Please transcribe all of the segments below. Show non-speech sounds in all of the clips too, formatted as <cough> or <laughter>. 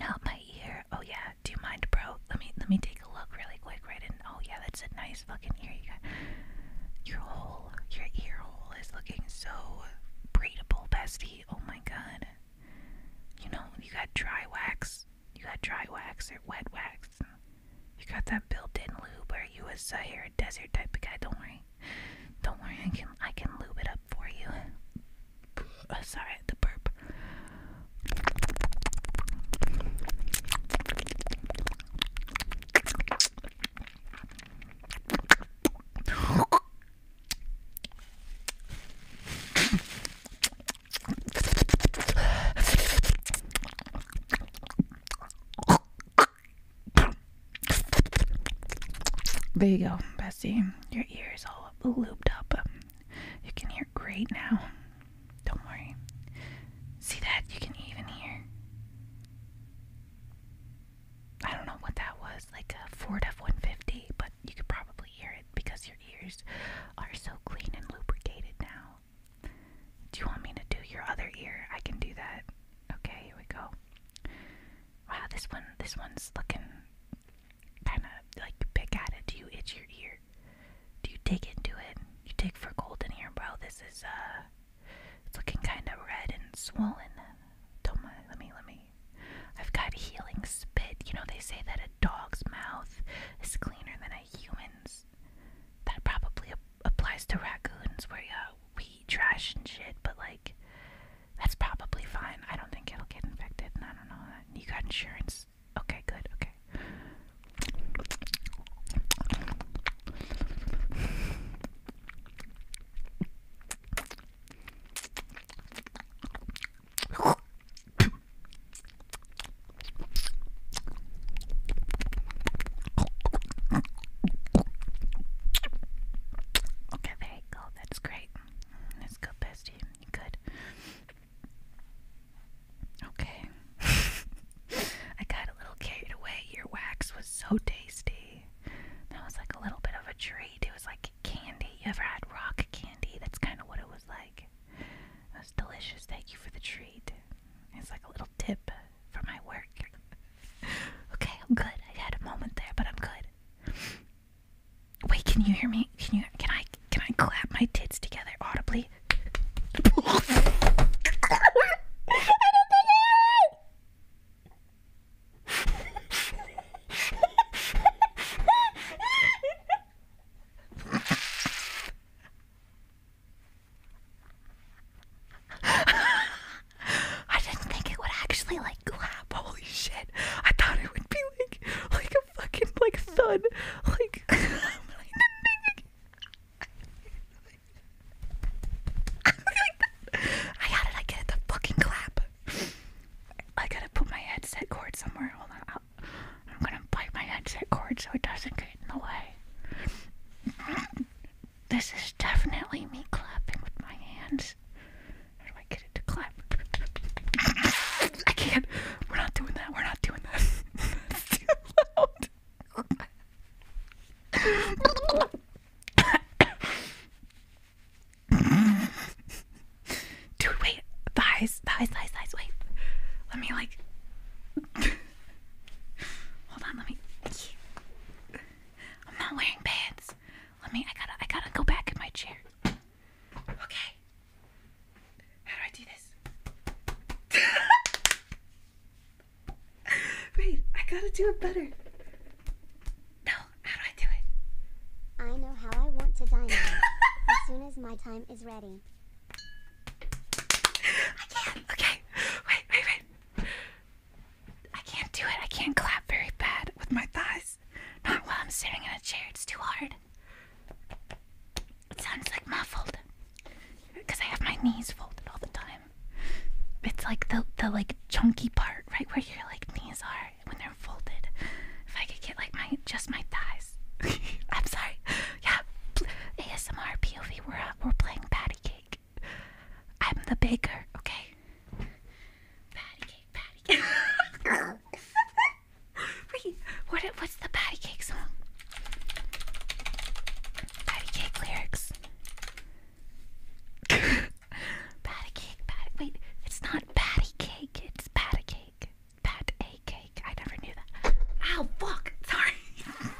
Not my ear. Oh yeah. Do you mind, bro? Let me let me take a look really quick, right? And oh yeah, that's a nice fucking ear you got. Your hole, your ear hole is looking so breathable, bestie. Oh my god. You know, you got dry wax. You got dry wax or wet wax. You got that built-in lube. or you uh, a Sahara Desert type of guy? Don't worry. Don't worry. I can I can lube it up for you. Uh, sorry, the burp. There you go, Bessie. Your ear is all looped up. you can hear great now. Don't worry. See that? You can even hear. I don't know what that was, like a Ford F 150, but you could probably hear it because your ears are so clean and lubricated now. Do you want me to do your other ear? I can do that. Okay, here we go. Wow, this one, this one's looking kind of like pick at it? Do you itch your ear? Do you dig into it? You dig for gold in here, bro. This is uh, it's looking kind of red and swollen. Don't mind. Let me, let me. I've got healing spit. You know they say that a dog's mouth is cleaner than a human's. That probably applies to raccoons, where yeah, we eat trash and shit, but like that's probably fine. I don't think it'll get infected, and I don't know that. You got insurance? Okay, good, okay. <coughs> Okay, there Okay, oh, That's great. Let's go, bestie. You good? Okay. <laughs> I got a little carried away. Your wax was so tasty. That was like a little bit of a treat. It was like candy. You ever had rock candy? That's kind of what it was like. It was delicious. Thank you for the treat. It's like a little tip for my work. <laughs> okay, I'm good. I had a moment there, but I'm good. Wait, can you hear me? Can you? Can I? Can I clap my tits together audibly? <laughs> <laughs> I didn't think it would actually like clap. Holy shit! I thought it would be like like a fucking like thud. Like <laughs> I got it. <laughs> I get The fucking clap. I gotta put my headset cord somewhere. Hold on. i am gonna bite my headset cord so it doesn't get in the way. This is definitely me clapping with my hands. How do I get it to clap? I can't. We're not doing that. We're not doing that. <laughs> too loud. Dude, wait. Thighs, thighs, thighs, thighs. Wait. Let me, like. <laughs> Hold on, let me. <laughs> I'm not wearing pants. Let me. I gotta. I gotta go back in my chair. Okay. How do I do this? <laughs> Wait. I gotta do it better. No. How do I do it? I know how I want to dine <laughs> as soon as my time is ready. I can't. Okay. Wait. Wait. Wait. I can't do it. I can't clap very bad with my thighs. Not while I'm sitting in a chair. It's too hard. It sounds like muffled because I have my knees folded all the time. It's like the the like chunky part, right where your like knees are when they're folded. If I could get like my just my thighs. <laughs> I'm sorry. Yeah. ASMR POV. We're uh, we're playing Patty patty cake. I'm the baker, okay? Patty cake, patty cake. <laughs> Wait, what? What's the patty cake song? Patty cake lyrics. <laughs> patty cake, patty. Wait, it's not patty cake. It's patty cake. Pat a cake. I never knew that. Ow, fuck. Sorry. <laughs>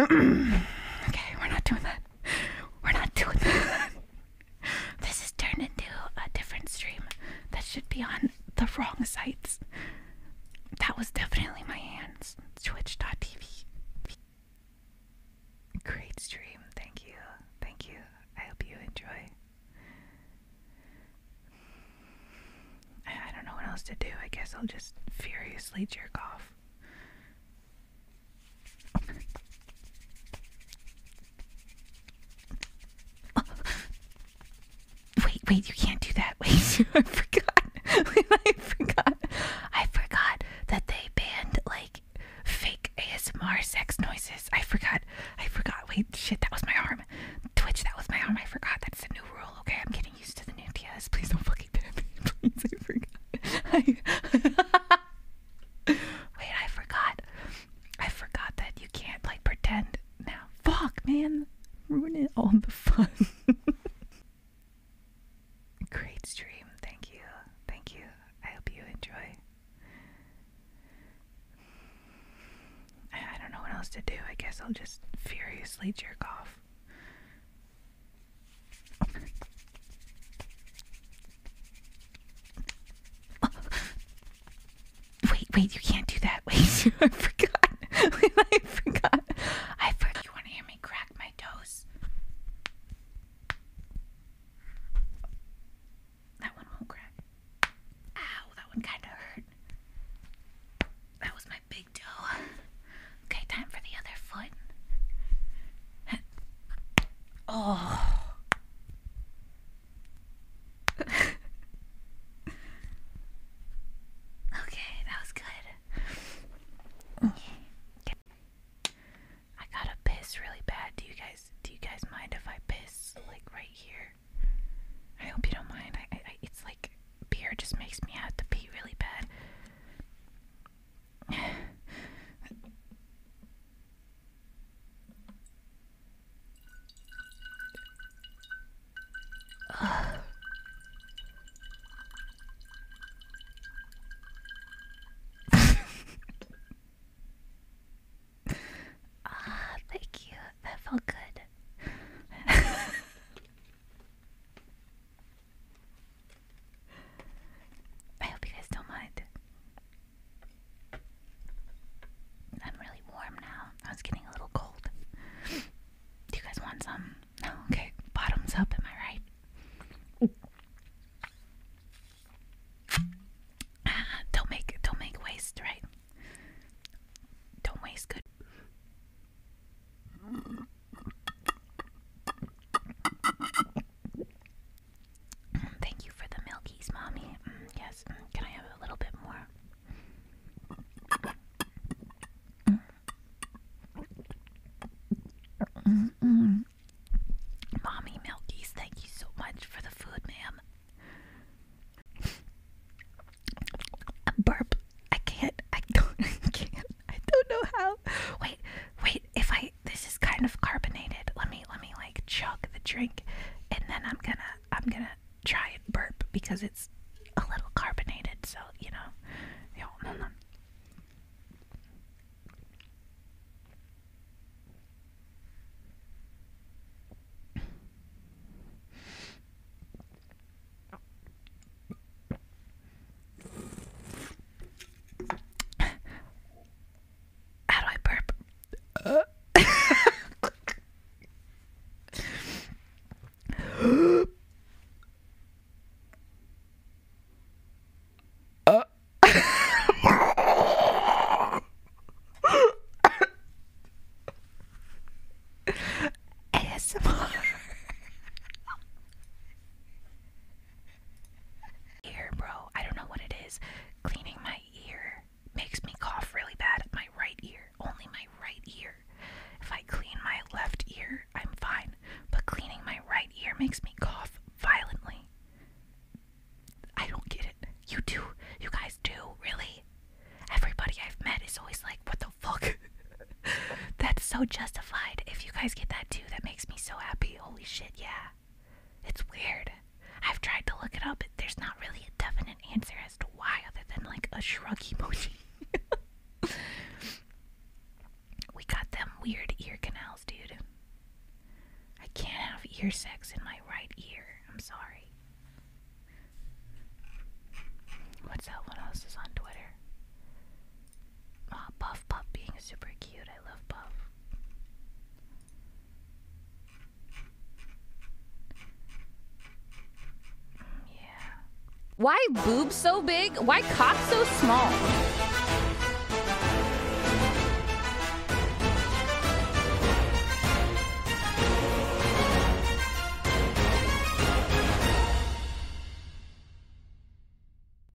okay, we're not doing that. We're not doing that. This is turned into a different stream that should be on the wrong sites. That was definitely my hands us. Twitch.tv. Great stream. Thank you. Thank you. I hope you enjoy. I don't know what else to do. I guess I'll just furiously jerk off. <laughs> Wait, wait, you can't do that. <laughs> Wait, <laughs> I forgot. <laughs> I forgot. I forgot that they banned like fake ASMR sex noises. I forgot. I forgot. Wait, shit, that was my arm. Twitch, that was my arm. I forgot. That's a new rule. Okay, I'm getting used to the new TS. Please don't fucking ban me. Please, I forgot. I... wait, I forgot. I forgot that you can't like pretend now. Fuck, man. Ruining all the fun. <laughs> Great stream. Thank you. Thank you. I hope you enjoy. I don't know what else to do. I guess I'll just furiously jerk off. <laughs> Wait, wait, you can't do that. <laughs> Wait, I forgot. Wait, <laughs> I forgot. I forgot. You want to hear me crack my toes? That one won't crack. Ow, that one kind of hurt. That was my big toe. Okay, time for the other foot. <laughs> Oh okay, that was good. I gotta piss really bad. Do you guys do you guys mind if I piss like right here? I hope you don't mind. I, it's like beer just makes me have to pee really bad. Ugh. ah, thank you. That felt good. <laughs> I hope you guys don't mind. I'm really warm now. I was getting a little cold. Do you guys want some? No? Okay. Bottoms up, am I right? Ah, don't make don't make waste, right? Don't waste good. Mm, thank you for the milkies, mommy. Mm, yes, mm, can I have a little bit more? Mommy Milkies, thank you so much for the food, ma'am. Burp. I can't. I don't. <laughs> I can't. I don't know how. Wait. Wait. If I. This kind of carbonated. Let me let me like chug the drink and then I'm gonna I'm gonna try and burp because it's a little carbonated, so you know. How do I burp? Uh. <laughs> uh. ASMR. Ear, bro. I don't know what it is. Cleaning my ear makes me cough really bad. My right ear, only my right ear. If I clean my left ear, I'm fine. But cleaning my right ear makes me cough violently. I don't get it. You do. You guys do, really? Everybody I've met is always like, what the fuck? <laughs> That's so justified. If you guys get that too, that makes me so happy. Holy shit, yeah. It's weird. I've tried to look it up, but there's not really a definite answer as to why, other than like a shrug emoji. <laughs> we got them weird ear canals, dude. I can't have ear sex in my right ear. I'm sorry. What's that? one else is on Twitter? oh, Puff Puff being super cute. I love Puff. Yeah. Why boobs so big? Why cock so small?